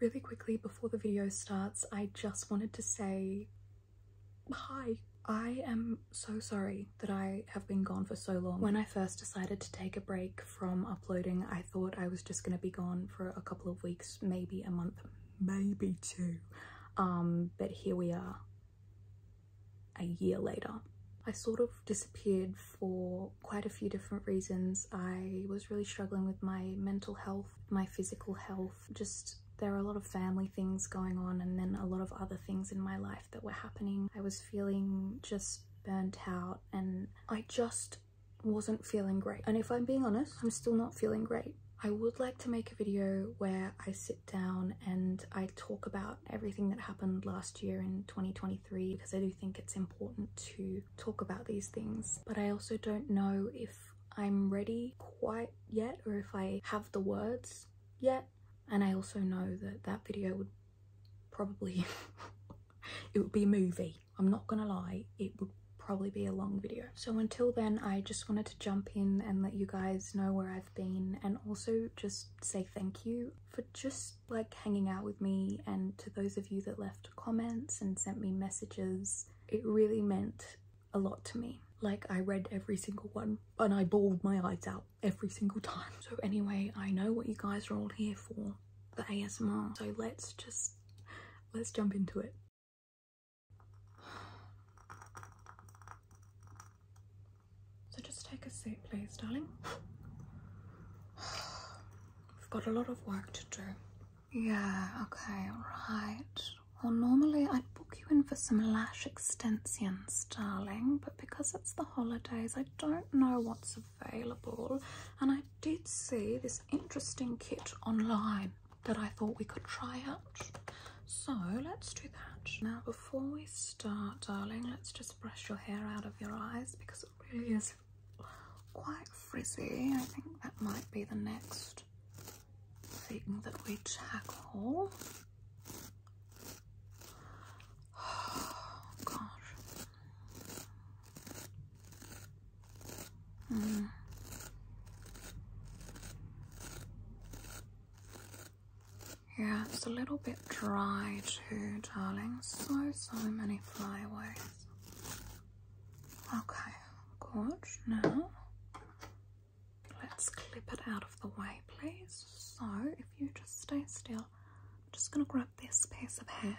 Really quickly before the video starts, I just wanted to say hi. I am so sorry that I have been gone for so long. When I first decided to take a break from uploading, I thought I was just gonna be gone for a couple of weeks, maybe a month, maybe two. Um, but here we are, a year later. I sort of disappeared for quite a few different reasons. I was really struggling with my mental health my physical health, just there are a lot of family things going on and then a lot of other things in my life that were happening. I was feeling just burnt out and I just wasn't feeling great. And if I'm being honest, I'm still not feeling great. I would like to make a video where I sit down and I talk about everything that happened last year in 2023 because I do think it's important to talk about these things, but I also don't know if I'm ready quite yet or if I have the words yet. And I also know that that video would probably, it would be a movie. I'm not gonna lie, it would probably be a long video. So until then, I just wanted to jump in and let you guys know where I've been and also just say thank you for just like hanging out with me and to those of you that left comments and sent me messages. It really meant a lot to me. Like I read every single one and I bawled my eyes out every single time. So anyway, I know what you guys are all here for, the ASMR. So let's just, let's jump into it. So just take a seat please, darling. i have got a lot of work to do. Yeah, okay, right. Well, normally I'd book you in for some lash extensions, darling, but because it's the holidays, I don't know what's available. And I did see this interesting kit online that I thought we could try out. So let's do that. Now, before we start, darling, let's just brush your hair out of your eyes because it really is quite frizzy. I think that might be the next thing that we tackle. Oh, gosh. Hmm. Yeah, it's a little bit dry too, darling. So, so many flyaways. Okay, good. Now let's clip it out of the way, please. So if you just stay still, I'm just gonna grab this piece of hair,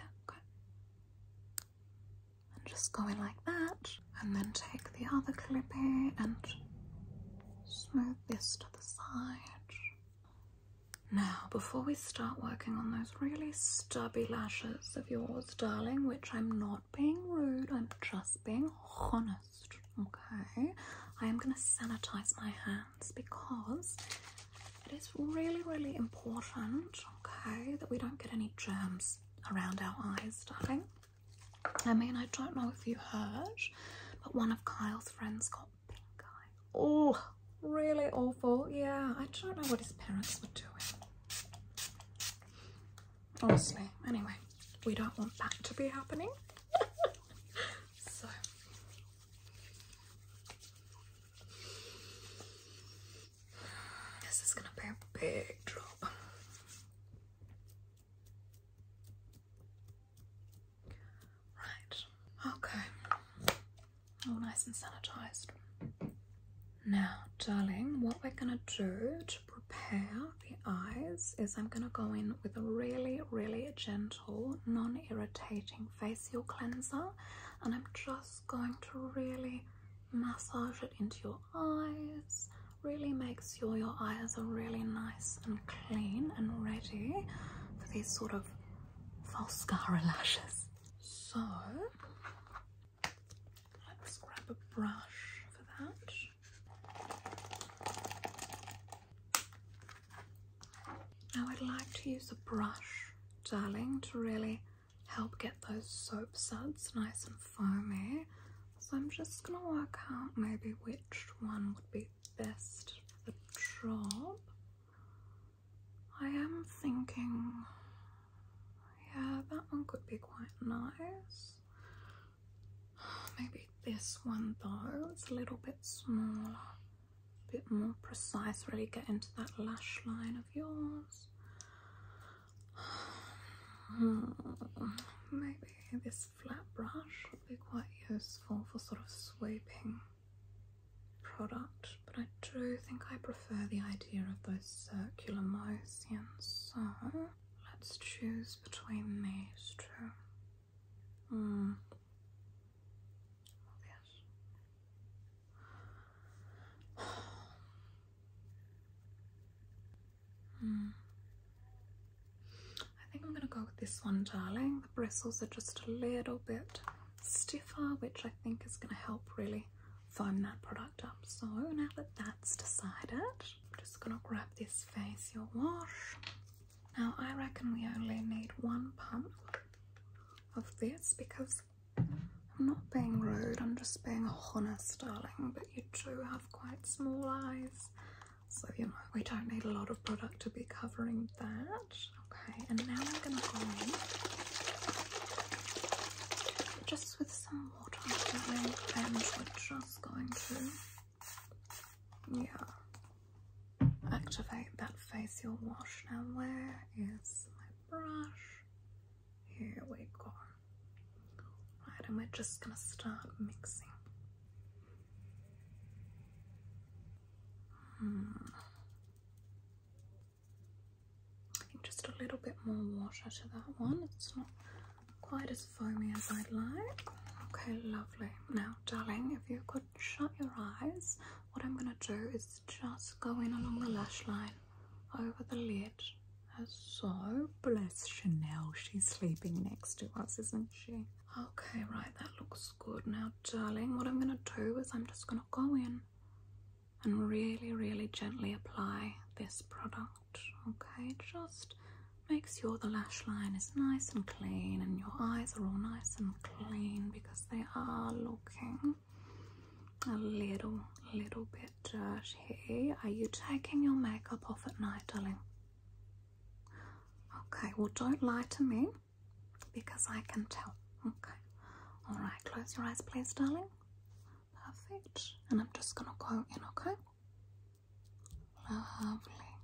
And just go in like that, and then take the other clippy and smooth this to the side. Now, before we start working on those those really stubby lashes of yours, darling, which I'm not being rude, I'm just being honest, okay? I am going to sanitize my hands because it is really, really important, okay, that we don't get any germs around our eyes, darling. I mean, I don't know if you heard, but one of Kyle's friends got pink eye. Oh, really awful. Yeah, I don't know what his parents were doing. Honestly, anyway, we don't want that to be happening. so, this is gonna be a big drop. Right, okay all oh, nice and sanitized. Now, darling, what we're gonna do to prepare the eyes is I'm gonna go in with a really, really gentle, non irritating facial cleanser, and I'm just going to really massage it into your eyes. Really make sure your eyes are really nice and clean and ready for these sort of false lashes. So let's grab a brush for that. Now I'd like to use a brush, darling, to really help get those soap suds nice and foamy. So I'm just going to work out maybe which one would be best for the job. I am thinking, yeah, that one could be quite nice. Maybe this one though, it's a little bit smaller, a bit more precise, really get into that lash line of yours. Hmm, maybe this flat brush would be quite useful for sort of sweeping product, but I do think I prefer the idea of those circular motions, so let's choose between these two. Hmm. Yes. hmm. I think I'm going to go with this one, darling. The bristles are just a little bit stiffer, which I think is going to help really Find that product up. So now that that's decided, I'm just gonna grab this facial wash. Now I reckon we only need one pump of this because I'm not being rude, I'm just being honest, darling, but you do have quite small eyes. So, you know, we don't need a lot of product to be covering that. Okay, and now I'm going to go in just with some water and we're just going to yeah activate that facial wash. Now where is my brush? Here we go. Right, and we're just gonna start mixing. Hmm just a little bit more water to that one. It's not quite as foamy as I'd like. Okay, lovely. Now, darling, if you could shut your eyes, what I'm going to do is just go in along the lash line over the lid. so, bless Chanel, she's sleeping next to us, isn't she? Okay, right, that looks good. Now, darling, what I'm going to do is I'm just going to go in and really, really gently apply this product. Okay, just make sure the lash line is nice and clean and your eyes are all nice and clean because they are looking a little, little bit dirty. Are you taking your makeup off at night, darling? Okay, well, don't lie to me because I can tell. Okay. All right. Close your eyes, please, darling. Perfect. And I'm just gonna go in. Okay. Lovely.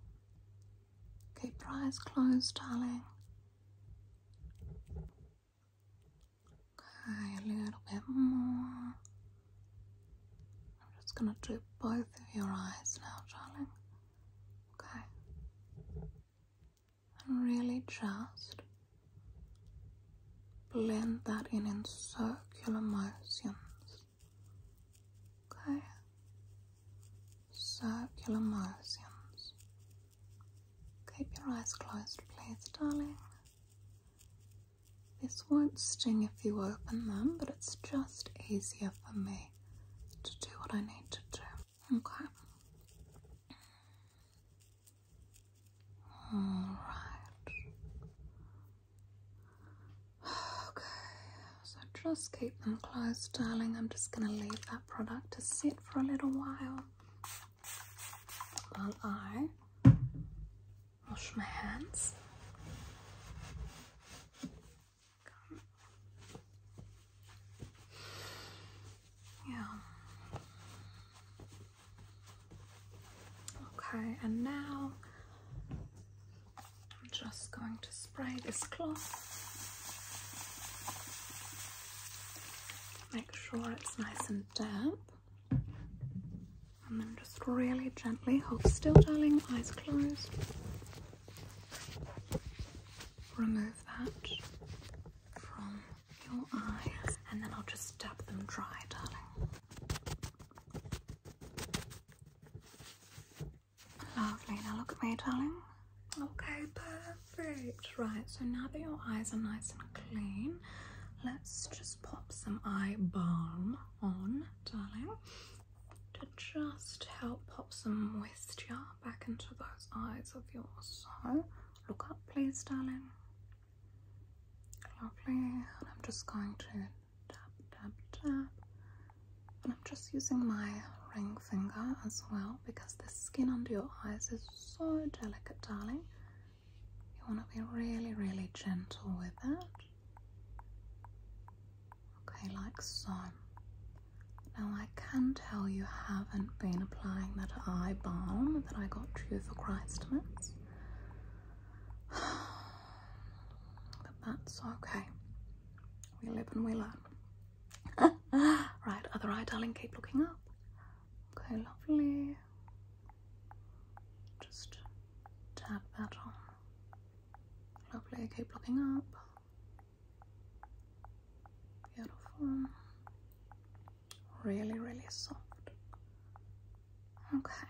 Keep your eyes closed, darling. Okay, a little bit more. I'm just gonna do both of your eyes now, darling. Okay and really just blend that in in circular motions. Okay? Circular motions. Keep your eyes closed, please, darling. This won't sting if you open them, but it's just easier for me to do what I need to do. Okay. All right. Okay, so just keep them closed, darling. I'm just going to leave that product to sit for a little while while I wash my hands. Yeah. Okay, and now I'm just going to spray this cloth. Make sure it's nice and damp. And then just really gently hold still, darling, eyes closed. Remove that from your eyes and then I'll just dab them dry, darling. Lovely. Now look at me, darling. Okay, perfect. Right, so now that your eyes are nice and clean, let's just pop some eye balm on, darling, to just help pop some moisture back into those eyes of yours. So Look up, please, darling. Lovely. And I'm just going to tap, tap, tap. And I'm just using my ring finger as well because the skin under your eyes is so delicate, darling. You want to be really, really gentle with that. Okay, like so. Now, I can tell you haven't been applying that eye balm that I got you for Christmas. But that's okay. We live and we learn. right, other eye, darling, keep looking up. Okay, lovely. Just tap that on. Lovely, keep looking up. Beautiful. Really, really soft. Okay.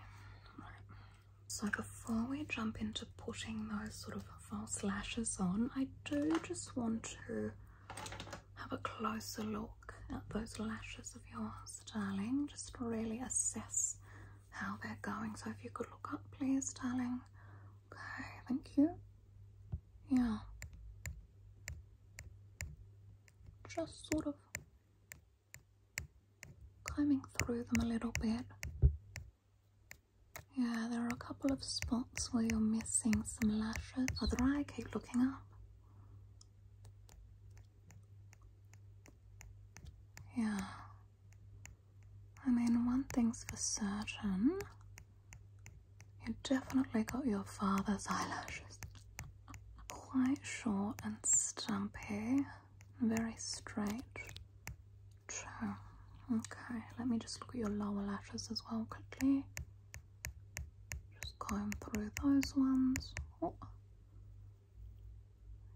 So before we jump into putting those sort of false lashes on, I do just want to have a closer look at those lashes of yours, darling. Just really assess how they're going. So if you could look up, please, darling. Okay, thank you. Yeah. Just sort of climbing through them a little bit. Yeah, there are a couple of spots where you're missing some lashes. Other oh, eye, keep looking up. Yeah. I mean, one thing's for certain you definitely got your father's eyelashes. Quite short and stumpy, very straight. True. Okay, let me just look at your lower lashes as well quickly. Just comb through those ones. Oh.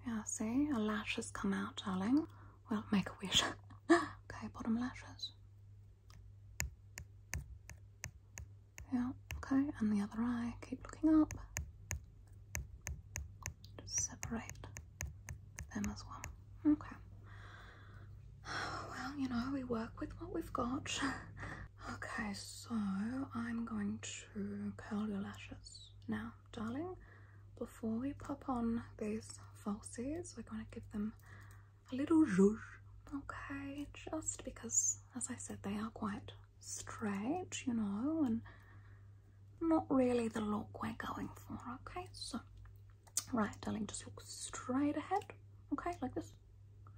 Yeah, see, a lash has come out, darling. Well, make a wish. okay, bottom lashes. Yeah, okay, and the other eye, keep looking up. Just separate them as well. Okay. Well, you know, we work with what we've got. okay, so I'm going to curl your lashes now, darling. Before we pop on these falsies, we're going to give them a little rouge, okay? Just because, as I said, they are quite straight, you know, and not really the look we're going for, okay? So, right, darling, just look straight ahead, okay? Like this.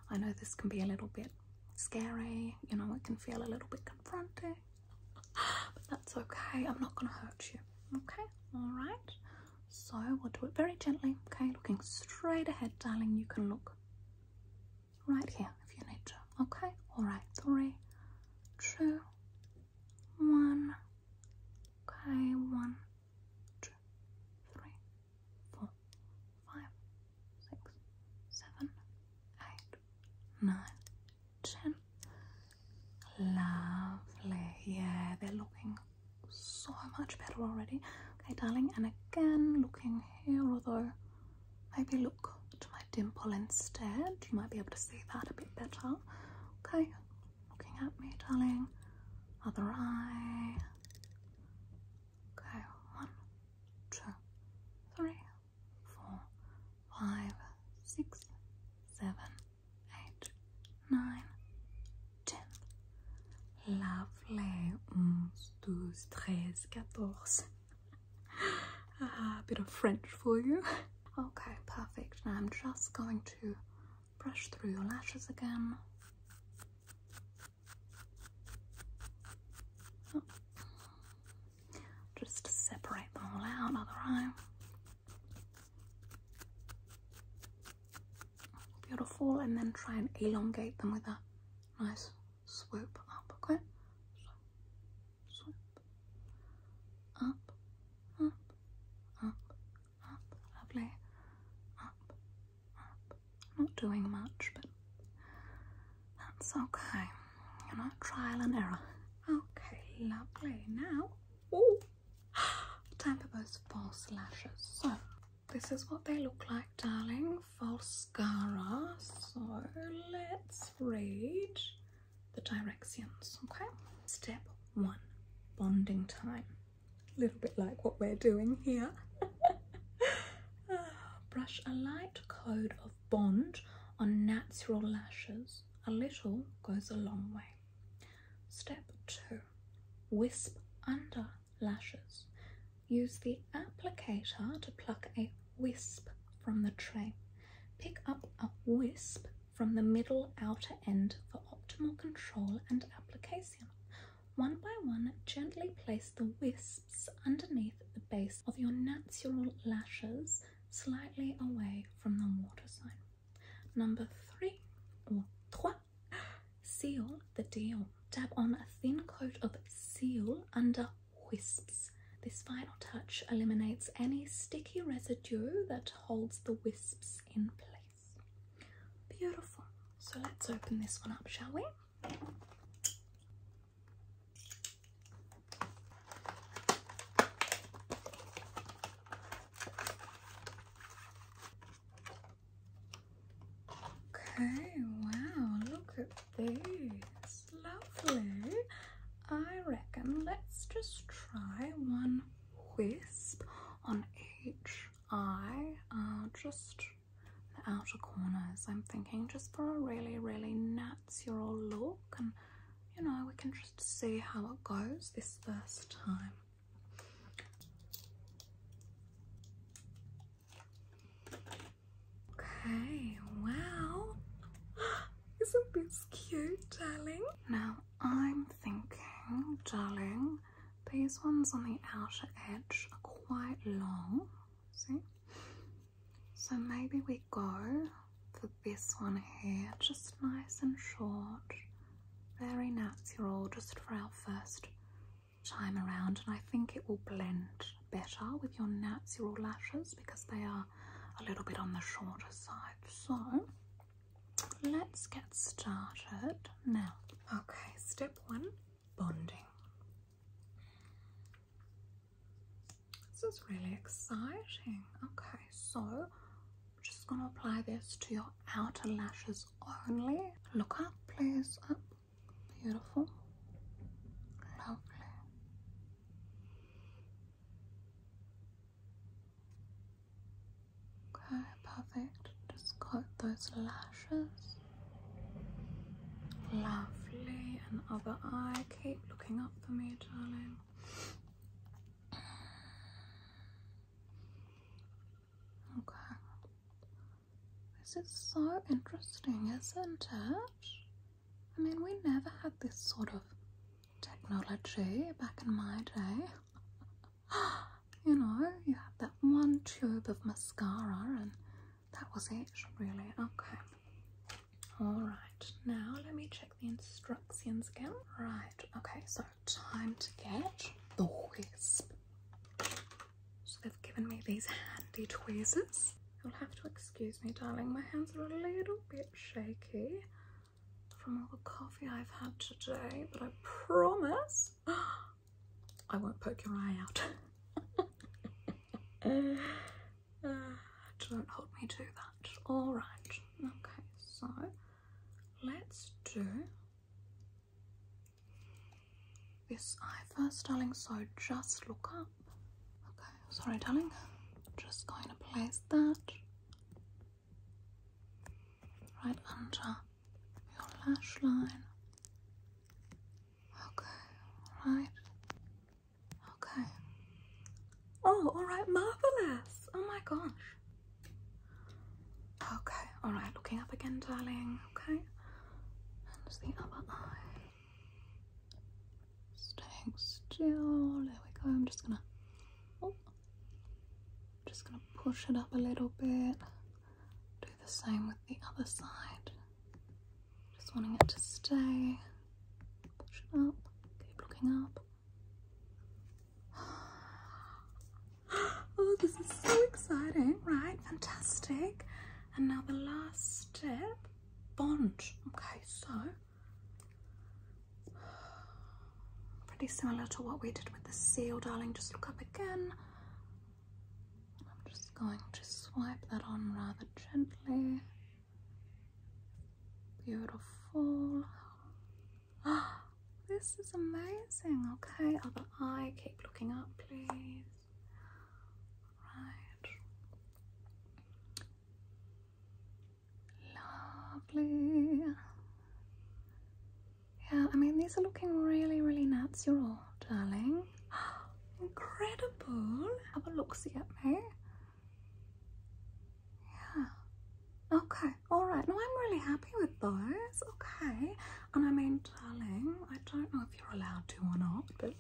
I know this can be a little bit scary, you know, it can feel a little bit confronting, but that's okay. I'm not going to hurt you, okay? All right. So we'll do it very gently, okay? Looking straight ahead, darling. You can look right here if you need to, okay? All right, three, two, one. Okay, one, two, three, four, five, six, seven, eight, nine, ten. Lovely. Yeah, they're looking so much better already. Okay, darling, and again, looking here, although maybe look to my dimple instead. You might be able to see that a bit better. Okay, looking at me, darling. Other eye. Okay, one, two, three, four, five, six, seven eight, nine, ten. Lovely. Mm, Onze, A bit of French for you. Okay, perfect. Now I'm just going to brush through your lashes again. Just separate them all out, other eye. Beautiful, and then try and elongate them with a nice swoop up, okay? up, up, up, up, lovely, up, up. Not doing much, but that's okay. You know, trial and error. Okay, lovely. Now, oh. Time for those false lashes. So this is what they look like, darling. False Falscara. So let's read the directions, okay? Step one, bonding time. A little bit like what we're doing here. Ah, brush a light coat of bond on natural lashes. A little goes a long way. Step two, wisp under lashes. Use the applicator to pluck a wisp from the tray. Pick up a wisp from the middle outer end for optimal control and application. One by one, gently place the wisps underneath the base of your natural lashes, slightly away from the water sign. Number three or trois, seal the deal. Dab on a thin coat of seal under wisps. This final touch eliminates any sticky residue that holds the wisps in place. Beautiful. So let's open this one up, shall we? Okay, wow, look at this. Lovely. I reckon let's just try one wisp on each eye, uh, just the outer corners. I'm thinking just for a really, really natural look, and you know, we can just see how it goes this first time. Okay, wow. Isn't this cute, darling? Now I'm thinking, darling, these ones on the outer edge are quite long. See? So maybe we go for this one here, just nice and short very natural just for our first time around and I think it will blend better with your natural lashes because they are a little bit on the shorter side so let's get started now okay step one bonding this is really exciting okay so just gonna apply this to your outer lashes only. Look up, please. Up. Beautiful. Lovely. Okay, perfect. Just coat those lashes. Lovely. And other eye. Keep looking up for me, darling. Okay. This is so interesting, isn't it? I mean, we never had this sort of technology back in my day. you know, you had that one tube of mascara and that was it, really. Okay. Alright, now let me check the instructions again. Right, okay, so time to get the wisp. So they've given me these handy tweezers. You'll have to excuse me, darling. My hands are a little bit shaky from all the coffee I've had today, but I promise I won't poke your eye out. Uh, don't hold me to that. All right. Okay, so let's do this eye first, darling. So just look up. Okay, sorry, darling. Just going to place that right under your lash line. Okay, right. Okay, Oh, all right, marvelous. Oh my gosh. Okay, all right, looking up again, darling. Okay, and the other eye. Staying still. There we go. I'm just gonna. Oh, just gonna push it up a little bit. Do the same with the other side. Just wanting it to stay. Push it up. Keep looking up. Oh, this is so exciting, right? Fantastic. And now the last step bond. Okay, so pretty similar to what we did with the seal, darling. Just look up again. I'm just going to swipe that on rather gently. Beautiful. this is amazing. Okay, other eye, keep looking up, please. Right. Lovely. Yeah, I mean, these are looking really, really natural, darling. Incredible. Have a look at me. Yeah. Okay. All right. No, I'm really happy with those. Okay. And I mean, darling, I don't know if you're allowed to or not, but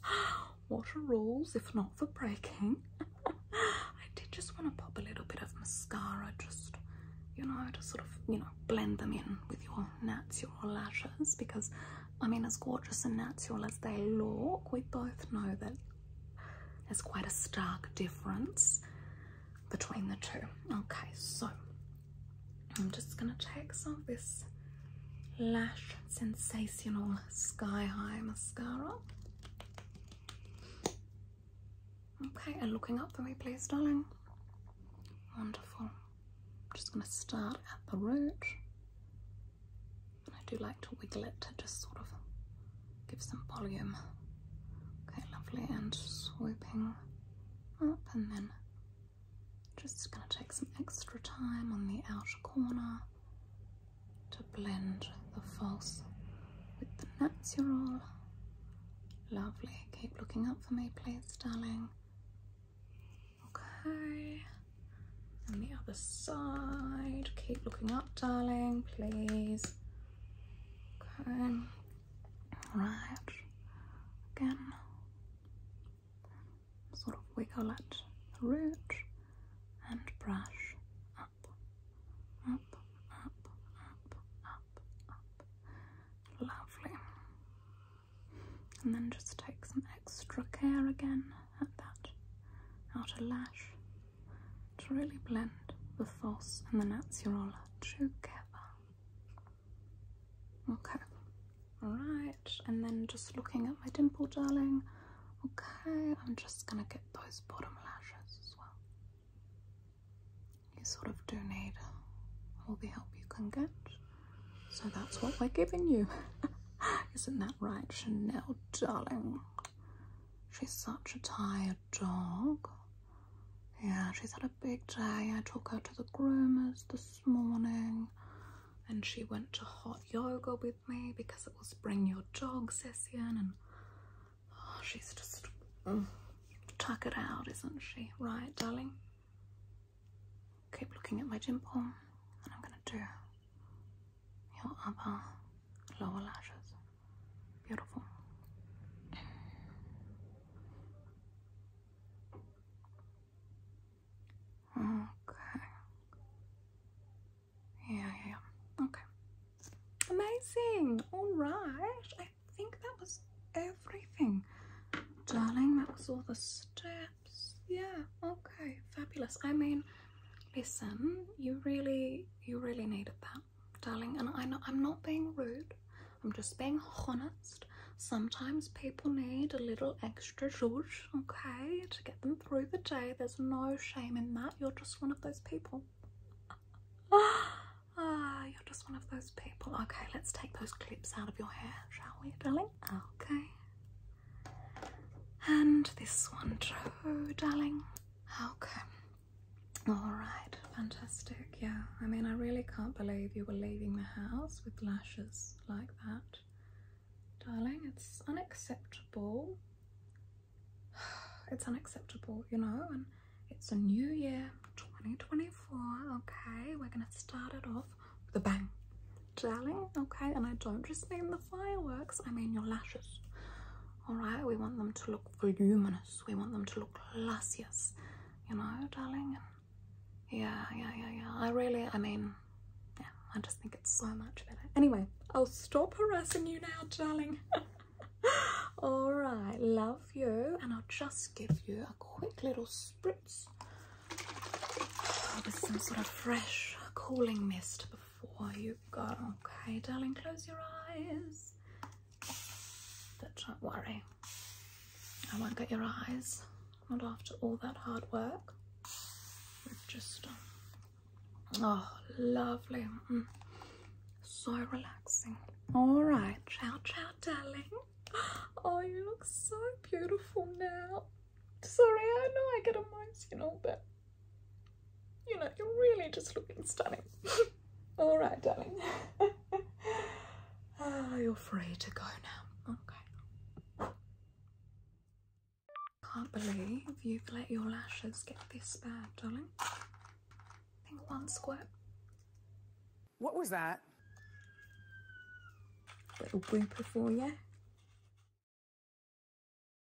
what are rules if not for breaking? I did just want to pop a little bit of mascara, just you know, to sort of you know blend them in with your natural lashes because I mean, as gorgeous and natural as they look, we both know that there's quite a stark difference between the two. Okay, so I'm just gonna take some of this Lash Sensational Sky High Mascara. Okay, and looking up for me, please, darling. Wonderful. just gonna start at the root. I do like to wiggle it to just sort of give some volume. Okay, lovely, and sweeping up and then just gonna take some extra time on the outer corner to blend the false with the natural. Lovely, keep looking up for me please, darling. Okay, on the other side, keep looking up, darling, please. Okay. Right. Again. Sort of wiggle at root and brush up, up, up, up, up, up. Lovely. And then just take some extra care again at that outer lash to really blend the false and the natural together. Okay, alright, and then just looking at my dimple, darling. Okay, I'm just gonna get those bottom lashes as well. You sort of do need all the help you can get, so that's what we're giving you. Isn't that right, Chanel, darling? She's such a tired dog. Yeah, she's had a big day. I took her to the groomers this morning and she went to hot yoga with me because it was bring your dog session and oh, she's just mm, tuck it out, isn't she? Right, darling? Keep looking at my dimple and I'm gonna do your other lower lashes. Beautiful. Okay. Yeah, yeah, Okay. Amazing. All right. I think that was everything. Darling, that was all the steps. Yeah, okay. Fabulous. I mean, listen, you really you really needed that, darling. And I know I'm not being rude. I'm just being honest. Sometimes people need a little extra zhuzh, okay, to get them through the day. There's no shame in that. You're just one of those people. Ah, you're just one of those people. Okay, let's take those clips out of your hair, shall we, darling? Okay. And this one darling. Okay. All right. Fantastic. Yeah. I mean, I really can't believe you were leaving the house with lashes like that. Darling, it's unacceptable. It's unacceptable, you know, and it's a new year, 2024, okay? We're gonna start it off with a bang, darling, okay? And I don't just mean the fireworks, I mean your lashes, all right we want them to look voluminous we want them to look luscious you know darling yeah yeah yeah yeah i really i mean yeah i just think it's so much better anyway i'll stop harassing you now darling all right love you and i'll just give you a quick little spritz with oh, some sort of fresh cooling mist before you go, Okay, darling, close your eyes. don't worry, I won't get your eyes. Not after all that hard work. just, um, oh, lovely. Mm. So relaxing. All right, ciao, ciao, darling. Oh, you look so beautiful now. Sorry, I know I get emotional, but you know, you're really just looking stunning. All right, darling. oh, you're free to go now. Okay. Can't believe you've let your lashes get this bad, darling. I think one squirt. What was that? Little blooper for you.